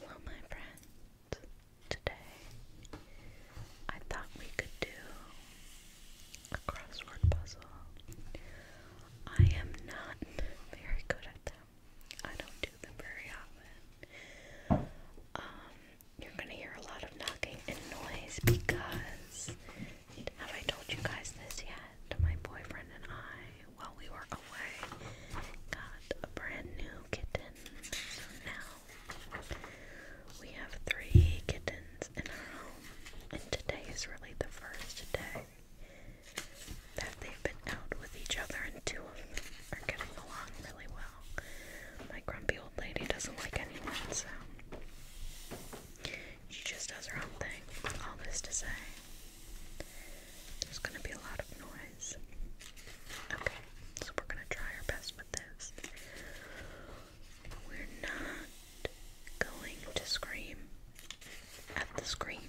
Hello, my friends. Today, I thought we could do a crossword puzzle. I am not very good at them. I don't do them very often. Um, you're gonna hear a lot of knocking and noise because have I told you guys this yet? My boyfriend and I while we were away, got a brand new kitten. So now we have three kittens in our home, and today is really the first day that they've been out with each other, and two of them are getting along really well. My grumpy old lady doesn't like anyone, so she just does her own thing. All this to say, there's gonna be a lot of noise. Okay, so we're gonna try our best with this. We're not going to scream at the screen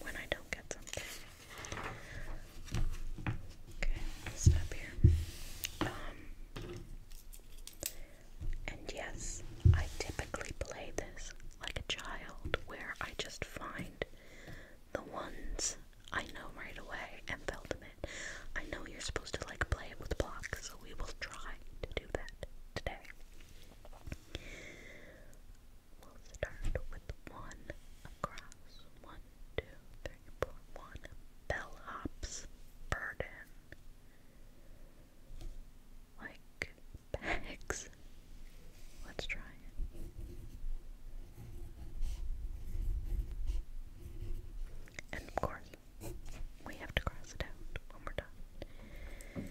when I don't get something. Okay, stop here. Um, and yes, I typically play this like a child where I just find the ones I know right away and fill them I know you're supposed to like play it with blocks, so we will try to do that today. We'll start with one across. One, two, three, four, one. Bellhop's burden like bags. Let's try And of course, we have to cross it out when we're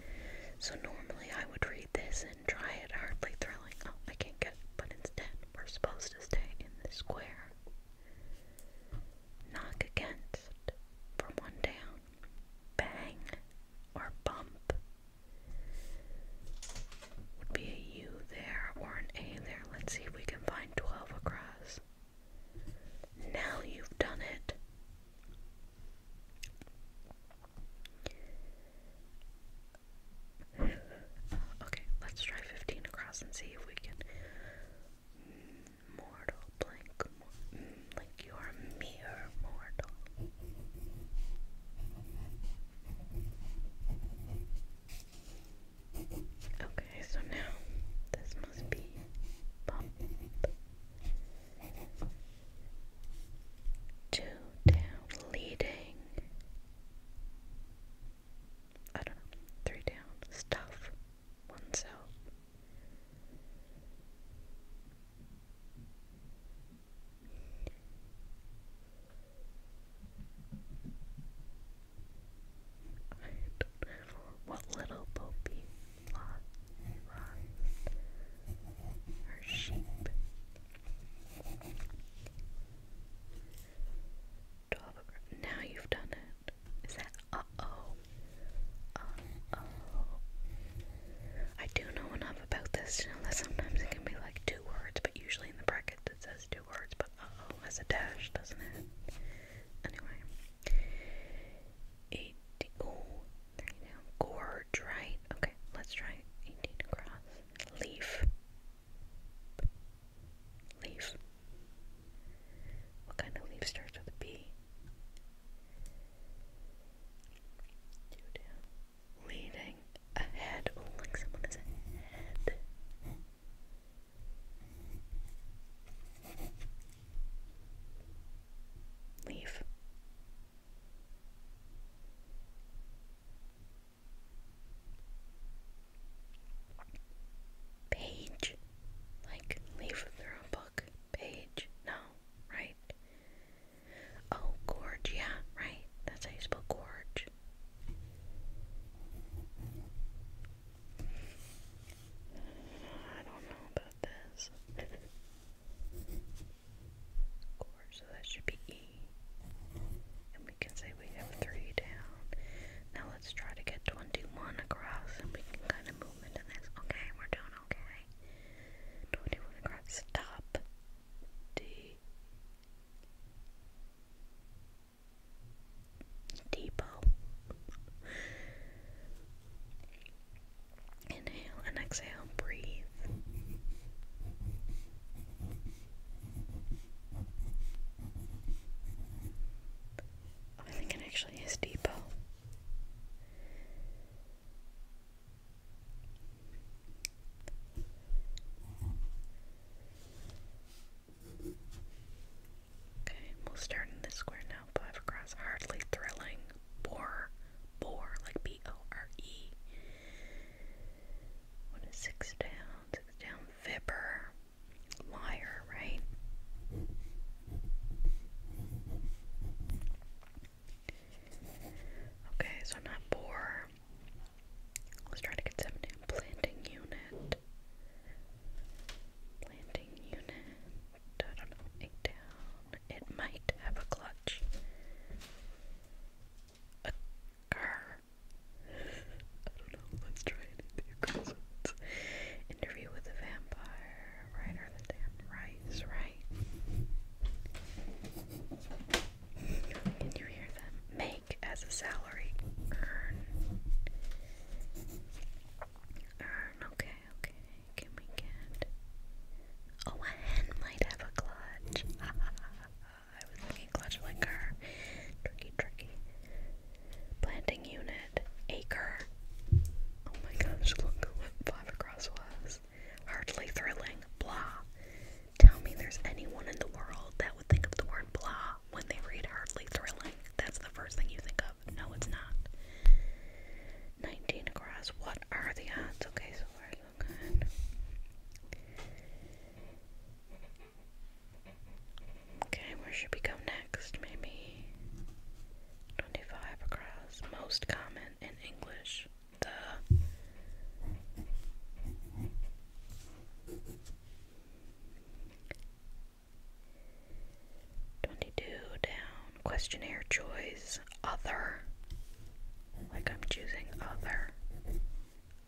So normally I would read this and try it hardly thrilling. Oh, I can't get it. But instead, we're supposed to stay in the square. Knock against from one down. Bang or bump would be a U there or an A there. Let's see if we can find 12 across. Now you've done it. Okay, let's try 15 across and see if we can. Mortal blank like you are a mere mortal. Okay, so now this must be pump two down leading. I don't know, three down stuff oneself. I do know what little Popey lot her sheep. Now you've done it. Is that uh oh? Uh oh. I do know enough about this. You know that sometimes it can be like two words, but usually in the brackets it says two words, but uh-oh, has a dash, doesn't it? Anyway. Eight oh, Gorge, right? Okay, let's try eighteen across. Leaf. Leaf. What kind of leaf starts with a B? Two ahead. Oh, like someone is ahead. Leave. Page. Like, leave their own book. Page. No, right? Oh, gorge, yeah, right. That's how you spell gorge. I don't know about this. gorge, so that should be E. And we can say we have three down. Now let's try to get 21 across and we can kind of move into this. Okay, we're doing okay. 21 grams top D Depot. Inhale and exhale, breathe. I think it actually is Depot. Okay, we'll start in this square now. Five across, hardly thrilling. Bore, bore, like B O R E. What is six down? Six down, fibber, liar, right? Okay, so not four. Let's try to get seventy. Planting unit. Planting unit. I don't know. Eight down. It might have a clutch. A car. I don't know. Let's try anything. Interview with a vampire right are the damn rights, right? Can you hear them? Make as a salary. Earn. Earn, okay, okay. Can we get. Oh, a hen might have a clutch. I was thinking clutch like her. Tricky, tricky. Planting unit acre. Oh my gosh, look what five across was. Hardly thrilling. Blah. Tell me there's anyone in the world that would think of the word blah when they read hardly thrilling. That's the first thing you think of. No, it's not. 19 across. What are the odds? Okay, so far Okay, where should we go next? Maybe Twenty-five across. Most common in English. The twenty-two down. Questionnaire choice. Other. Like I'm choosing other.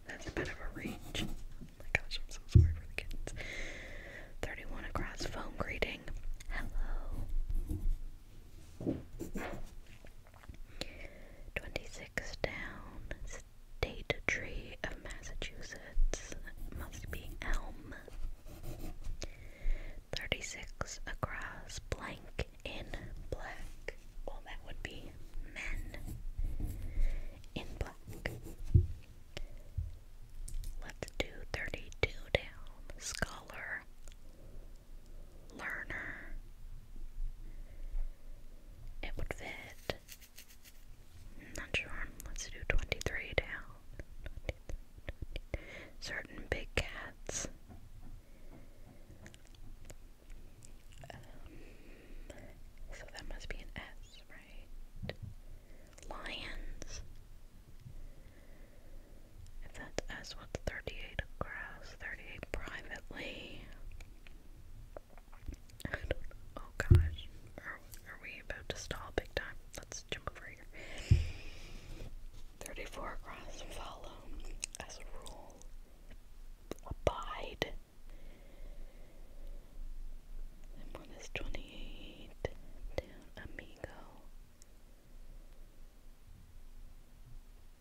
That's a bit of a reach. Oh my gosh, I'm so sorry for the kids. 31 across phone greeting. Hello. 26 down. State tree of Massachusetts. Must be elm. 36 across blank in black. Well, that would be men in black. Let's do 32 down. Scholar, learner. It would fit. Not sure. Let's do 23 down. Certain big cats. Um, so that must be an S, right? lions. If that's us, 38 across? 38 privately. Oh gosh. Are, are we about to stall big time? Let's jump over here. 34 across. Follow. As a rule. Abide. 28. Down amigo.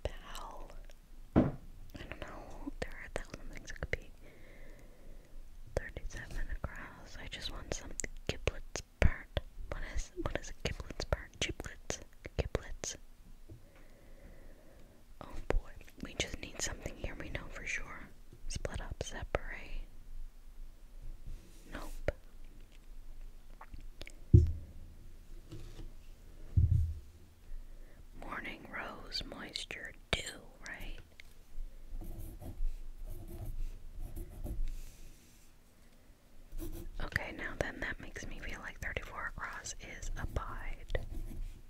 Bowel. I don't know. There are a thousand things it could be. 37 across. I just want some giblets part. What is what is a giblets part? Giblets. Giblets. Oh boy. We just need something here we know for sure. Split up, separate. Nope. Morning Rose Moisture Dew, right? Okay, now then that makes me feel like 34 across is abide.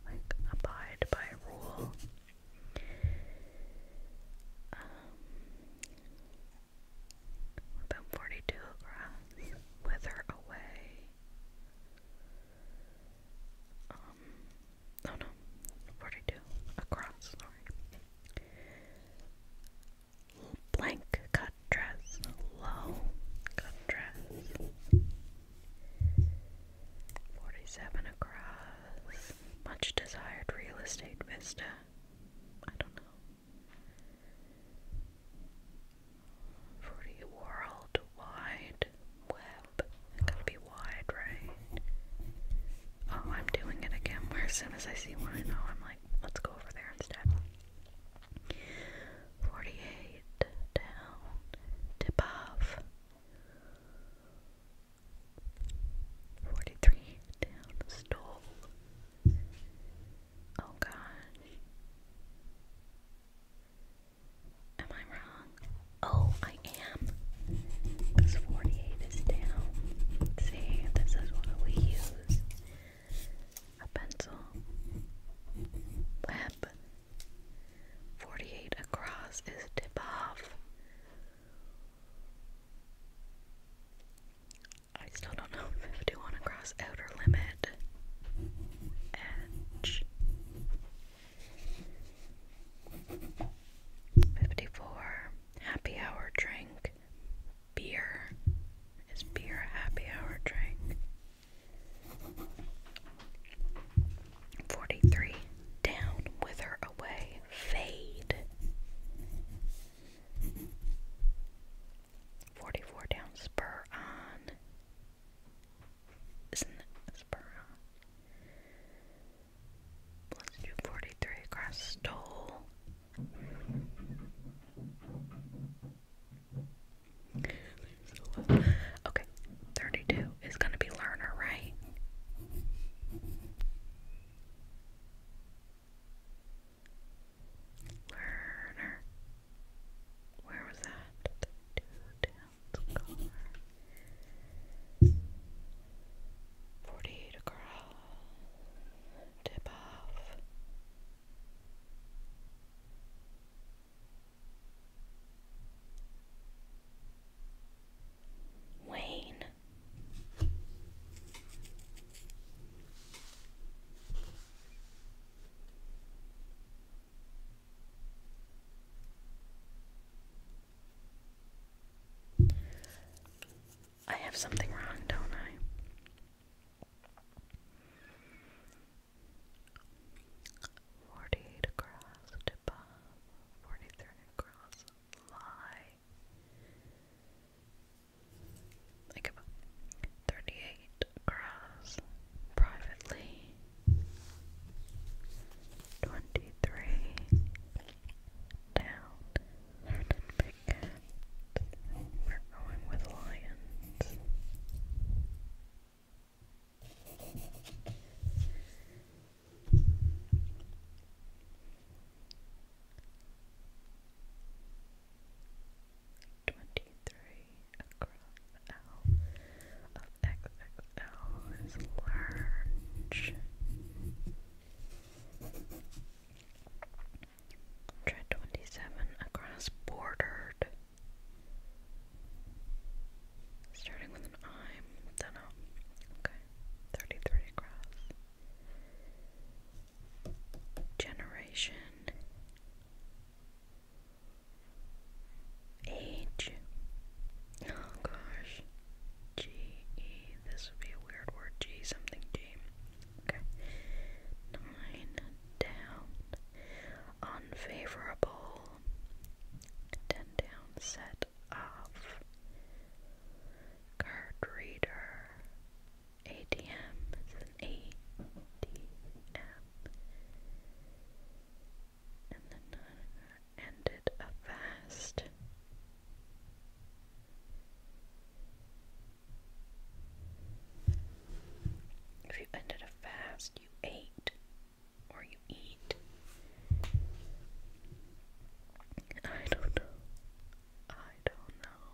Like abide by rule. Um, about 42 across, wither away. Um, oh no, 42 across, sorry. Blank cut dress, low cut dress. 47 across. Much desired real estate vista. I don't know. Forty world web. gotta be wide, right? Oh, I'm doing it again. Where as soon as I see one I know, I'm like, let's go over there instead. Forty-eight down. Tip off. Forty-three down stole. Oh gosh. Am I wrong? Oh, I am. Because 48 is down. See, this is why we use a pencil. Web. 48 across is tip off. I still don't know if I do want to cross outer limit edge. 54. Happy hour drink. Beer. Is beer a happy hour drink? 43. Down, wither away fade. 44 down, spur on. Isn't it spur on? Let's do 43 across stole. Okay, 32 is going to be learner, right? Learner. Where was that? Forty-eight across. Tip off. Wayne. I have something wrong, don't I? Forty eight across, tip off, forty three across, lie. I 38 gross privately. 23 down. We're going with lions. Twenty-three across L of XXL is large. Hundred twenty-seven across bordered. Starting with with an Don't know. Okay. 33 across. Generation. Age. Oh gosh. G E. This would be a weird word. G something G. Okay. Nine down. Unfavorable. Ten down. Set off. Card reader. ATM And then uh, ended a fast. If you ended a fast, you ate or you eat. I don't know. I don't know.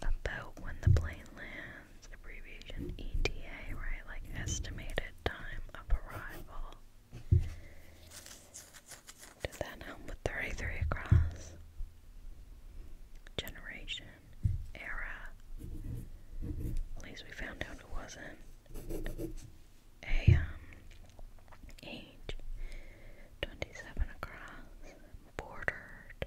About when the plane lands abbreviation ETA, right? Like estimated time of arrival. Did that help with 33 across? Generation, era. At least we found out it wasn't a um, age. 27 across, bordered,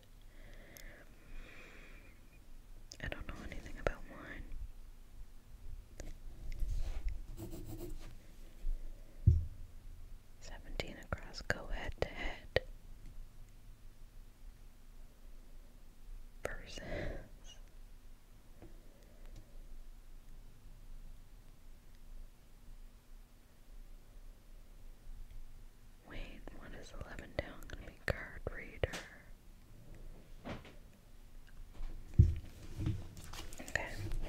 I don't know anything about wine. 17 across, go head to head. Versus. Wait, what is 11 down? Gonna be card reader. Okay,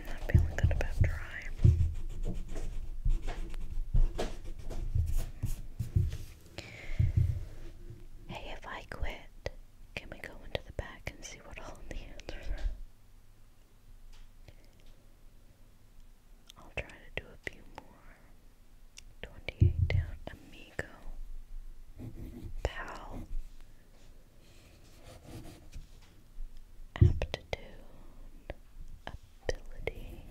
not feeling good about dry. Hey, if I quit, can we go into the back and see what all the answers I'll try to do a few more. 28 down, amigo, pal, aptitude, ability.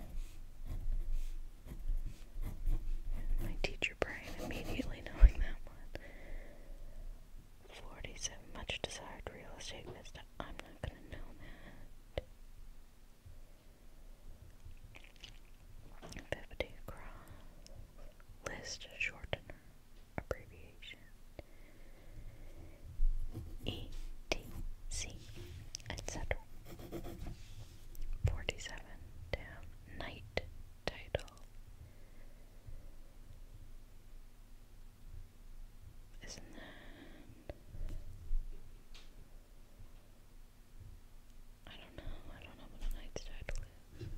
My teacher brain immediately knowing that one. 47 much desired real estate vista. I'm not gonna know that. Fifty cross list shortener abbreviation ETC Forty seven down night title isn't that I don't know. I don't know what a night title is.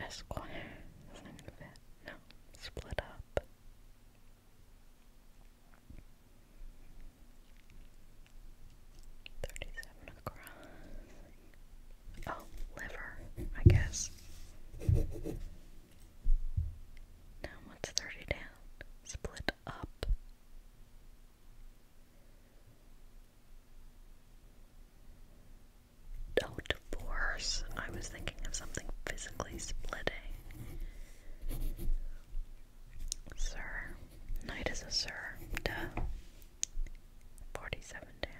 Esquire. No. Split up. Thirty-seven across. Oh, liver. I guess. Now what's down? Split up. Oh, divorce. I was thinking of something physically splitting. Sir. Knight is a sir. Duh. 47 down.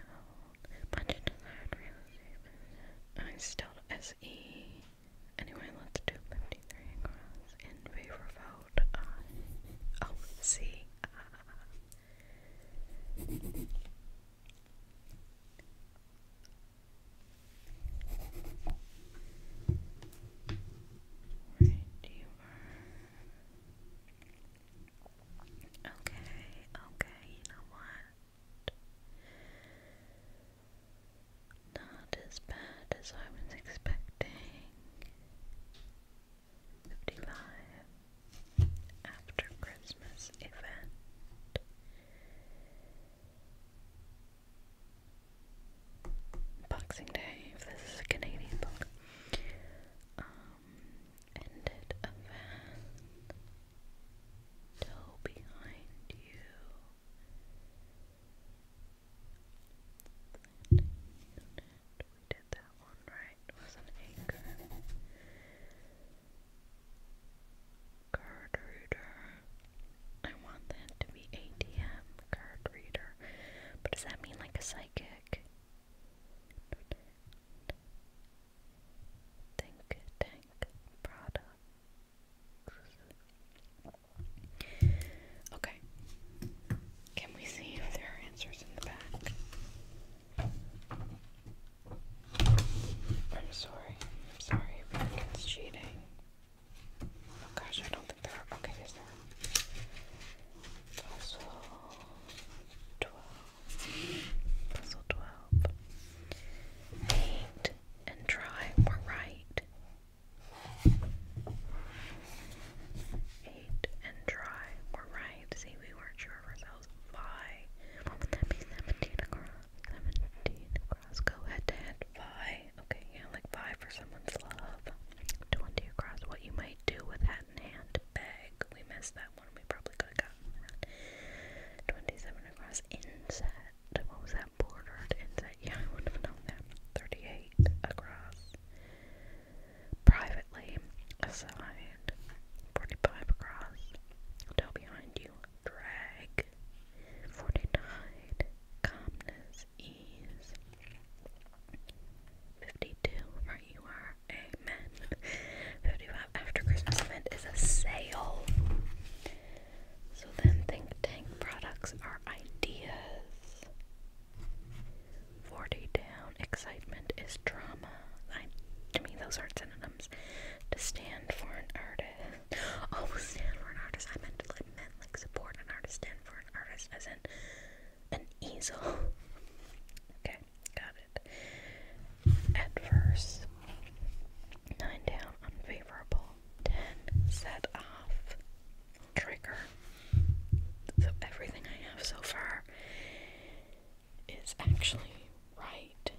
Punch into still S E. Anyway, let's do 53 in favor of uh, oh, uh, out. Okay, okay, you know what? Not as bad as I was expecting. 55 After Christmas Event. Boxing Day, if this is a Canadian book. Um, ended a toe behind you. We did that one right. was an anchor. Card reader. I want that to be ATM card reader. But does that mean like a psychic? Think Tank products. Okay. Can we see if there are answers in the back? I'm sorry. I'm sorry if your cheating. Oh gosh, I don't think there are. Okay, is there? Puzzle 12. Puzzle 12 hate and try were right. Hate and try were right. See, we weren't sure of ourselves. Why? What would that be? 17 across. 17 across. Go head to head. Why? Okay, yeah, like five for someone's love. 20 across. What you might do with hat in hand. Beg. We missed that probably could 27 across inset. What was that? Bordered inset. Yeah, I wouldn't have known that. 38 across. Privately aside. 45 across. Tell behind you. Drag. 49. Calmness. Ease. 52. Right, you are. Amen. 55 after Christmas event is a sale. So then think tank products are ideas. 40 down, excitement is drama. to me, those aren't synonyms. To stand for an artist. Oh, stand for an artist. I meant like, meant like support an artist. Stand for an artist as in an easel. Okay. Got it. Adverse. Nine down, unfavorable. Ten, set off. Trigger. So everything I have so far is actually right.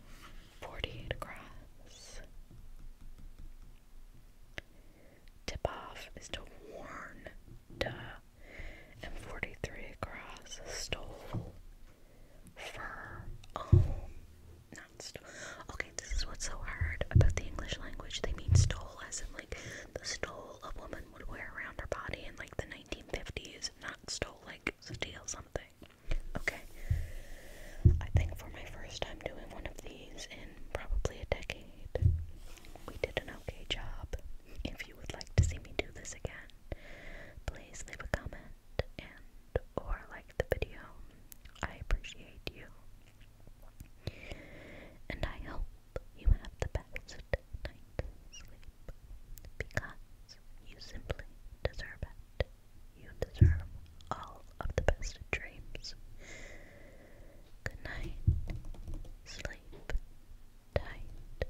48 across. Tip off is to warn, duh. And 43 across, stole fur. Oh, um, not stole. Okay, this is what's so hard about the English language. They mean stole as in like the stole a woman would wear around her body in like the 1950s, not stole like steal something. Okay, I think for my first time doing one of these in probably a decade, we did an okay job. If you would like to see me do this again, please leave a comment and or like the video. I appreciate you. And I hope you have the best night's sleep because you simply deserve it. You deserve all of the best dreams. Good night. Sleep tight.